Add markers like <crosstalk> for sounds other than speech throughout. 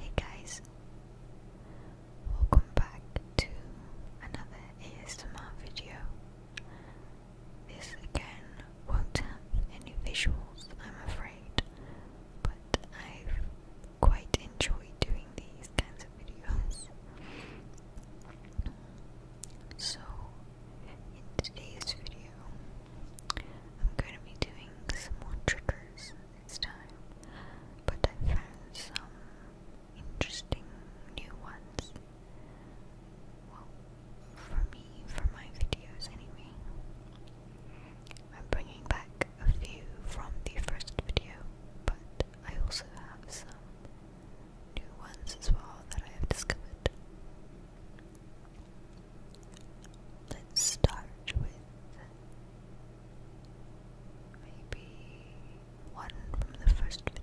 Hey guys, welcome back to another ASMR video. This again won't have any visuals, I'm afraid, but I've quite enjoyed doing these kinds of videos. So, in today's video, I'm going to be doing some more triggers this time, but I found some interesting new ones. Well, for me, for my videos anyway. I'm bringing back a few from the first video, but I also have some new ones as well that I have discovered. Let's start with maybe one from the first video.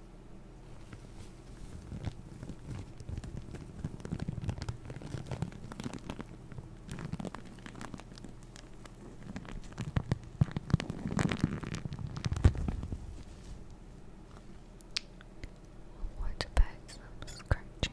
What about some scratching?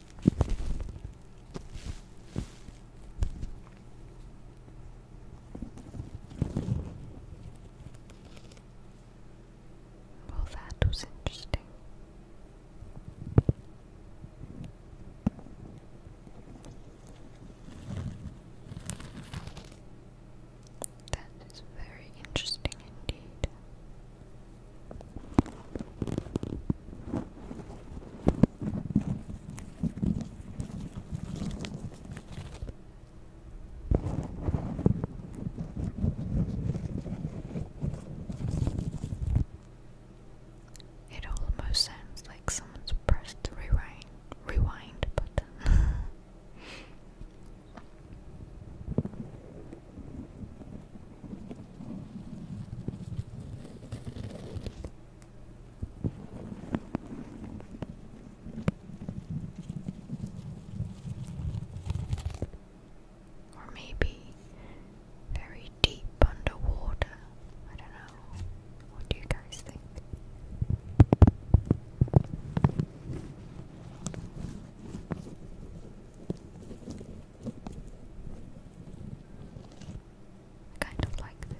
Well, that was interesting. That is very interesting indeed. It almost sounds like someone's pressed the rewind rewind button. <laughs> Or maybe very deep underwater. I don't know. What do you guys think? kind of like this.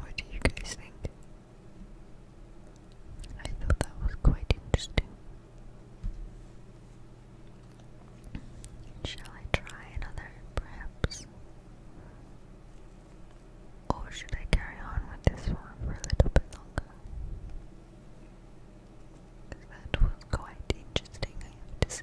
What do you guys think? I thought that was quite interesting. Shall I try another, perhaps? Or should I carry on with this one for a little bit longer? That was quite interesting, I have to say.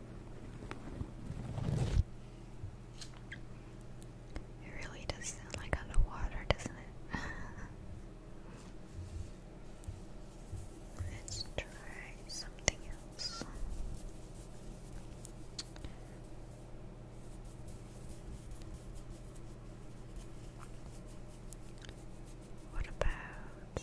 It really does sound like underwater, doesn't it? <laughs> Let's try something else. What about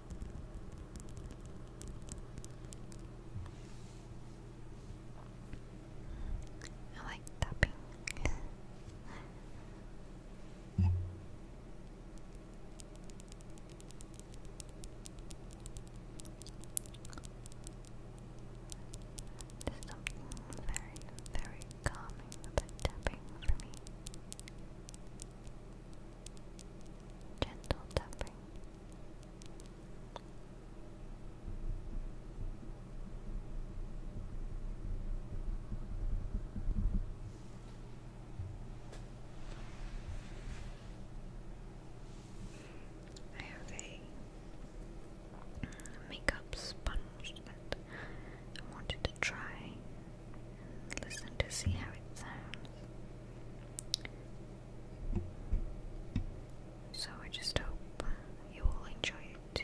I like tapping. yeah. There's very, very calming tapping for me. Gentle tapping. I have a makeup sponge that I wanted to try Listen to see how it sounds. So I just hope you all enjoy it too.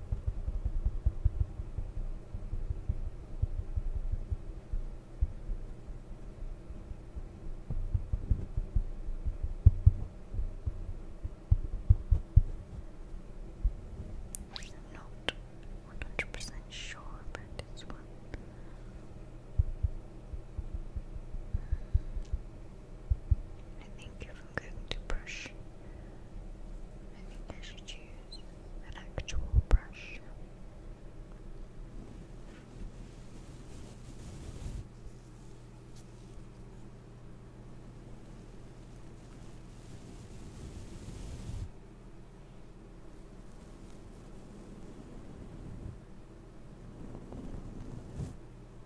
I'm not 100% sure about this one. I think I'm going to brush, I think I should use an actual brush.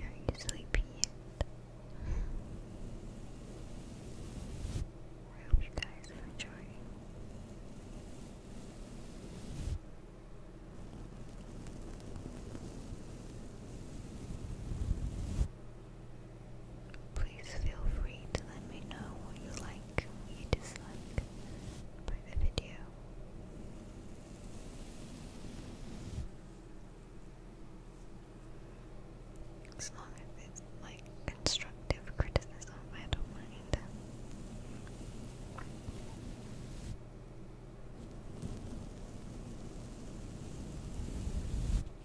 Are you sleepy yet? I hope you guys are enjoying. Please feel free to let me know what you like and what you dislike by the video. As long as it's like constructive criticism, I don't mind.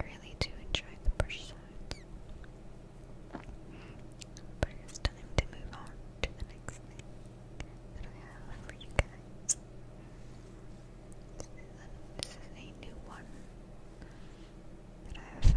I really do enjoy the brush sounds. But it's time to move on to the next thing that I have for you guys. this is a new one that I have found.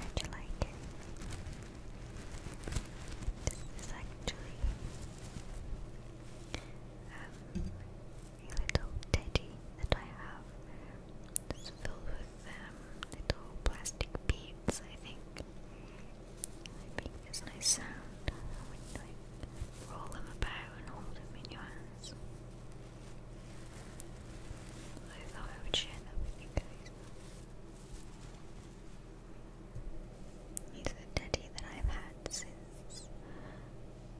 How'd you like it? This is actually um, a little teddy that I have. It's filled with um, little plastic beads, I think. Wiping is nice sound uh, roll them about and hold them in your hands. I thought I would share that with you He's a daddy that I've had since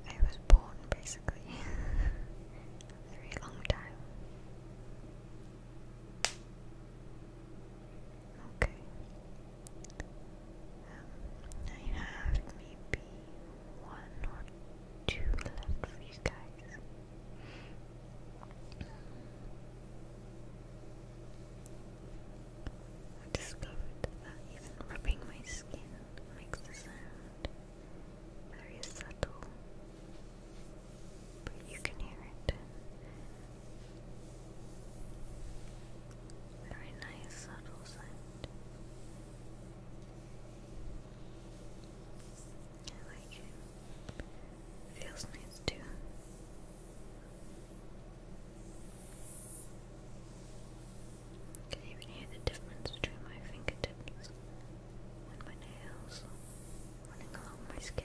I was born, basically. <laughs> very long time. Okay. Um, I have maybe one or two left for you guys. I discovered that even rubbing my skin makes the sound very subtle, but you can hear it. Very nice subtle scent. I like it. Feels nice too. can even hear the difference between my fingertips and my nails running along my skin.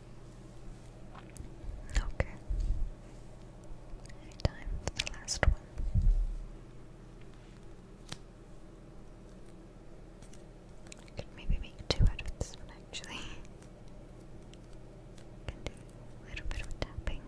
Okay. Any time for the last one. could maybe make two out of this one actually. <laughs> a little bit of tapping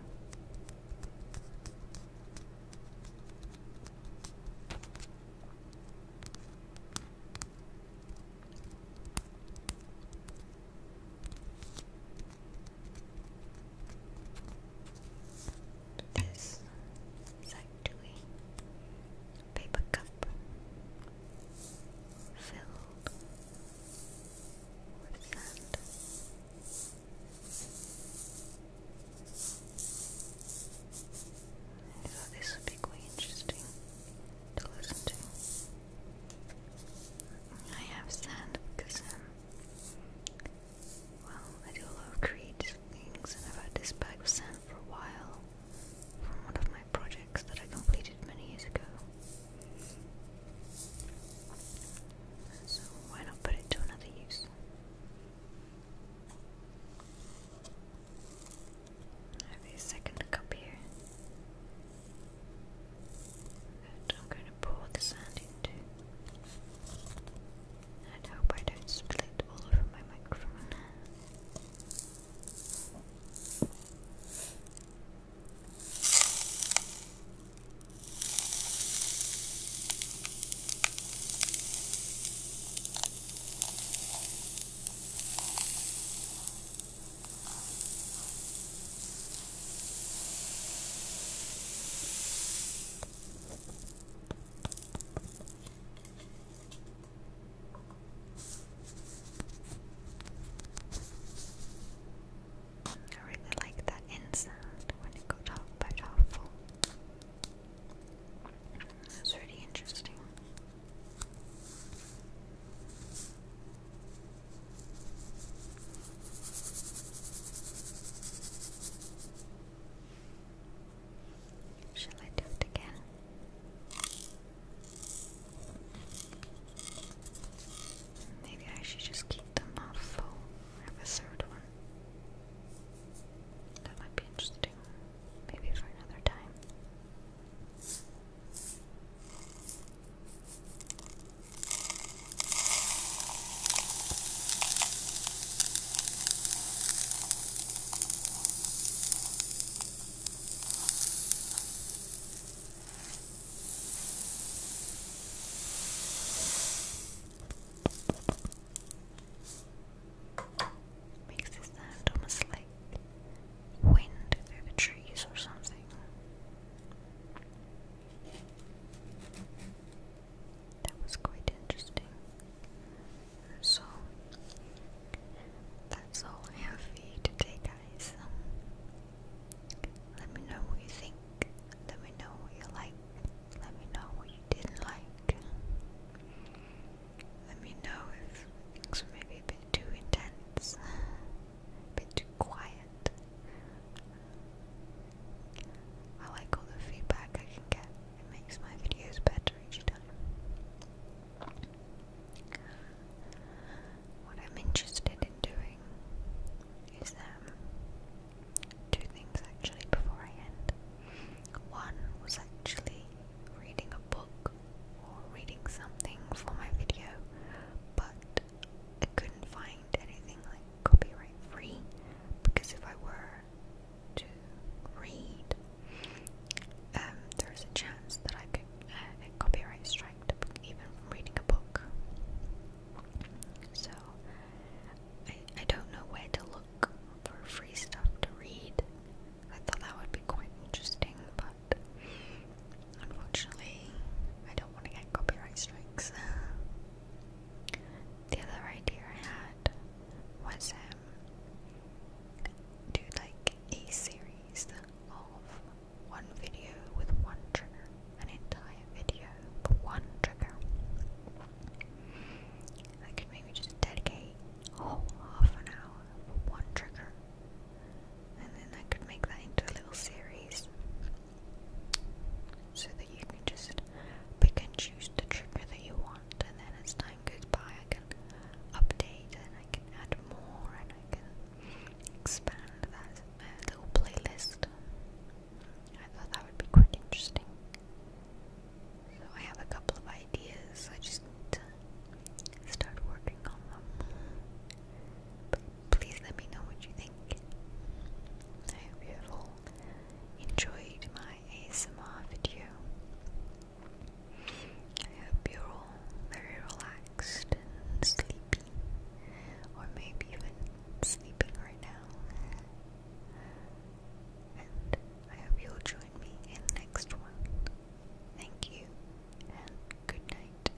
this sanctuary paper cup filled with sand. I thought this would be quite interesting to listen to. I have sand because, um, well, I do love creative things, and I've had this bag of sand for a while from one of my projects that I completed many years ago. So, why not put it to another use? I have a second cup here. And I'm going to pour the sand into. And hope I don't spill it all over my microphone. I really like that end when it goes off by top That's really interesting. Shall I do it again? Maybe I should just keep them all full. have a third one. That might be interesting. Maybe for another time. Makes this sound almost like wind through the trees or something. That was quite interesting. So, that's all for you today, guys. Um, let me know what you think. Let me know what you like. Let me know what you didn't like. Let me know if things maybe a too intense a bit too quiet. I like all the feedback I can get, it makes my videos better each time. What I'm interested in doing is that um, two things actually before I end. One was actually reading a book or reading something for my video, but I couldn't find anything like copyright free because if I were to read, um, there's a chance that I could uh, copyright strike the book even reading a book. So I don't know where to look for free stuff to read. I thought that would be quite interesting, but Unfortunately, I don't want to get copyright strikes. <laughs> the other idea I had was um, do like a series of one video with one trigger, an entire video for one trigger. I could maybe just dedicate a whole half an hour for one trigger and then I could make that into a little series so that you can just pick and choose the trigger that you want, and then as time goes by, I can update and I can add more and I can expand that uh, little playlist. I thought that would be quite interesting. So I have a couple of ideas, I just start working on them please let me know what you think. I hope you all enjoyed my ASMR video. I hope you're all very relaxed and sleepy, or maybe even sleeping right now. And I hope you'll join me in next one. Thank you, and good night.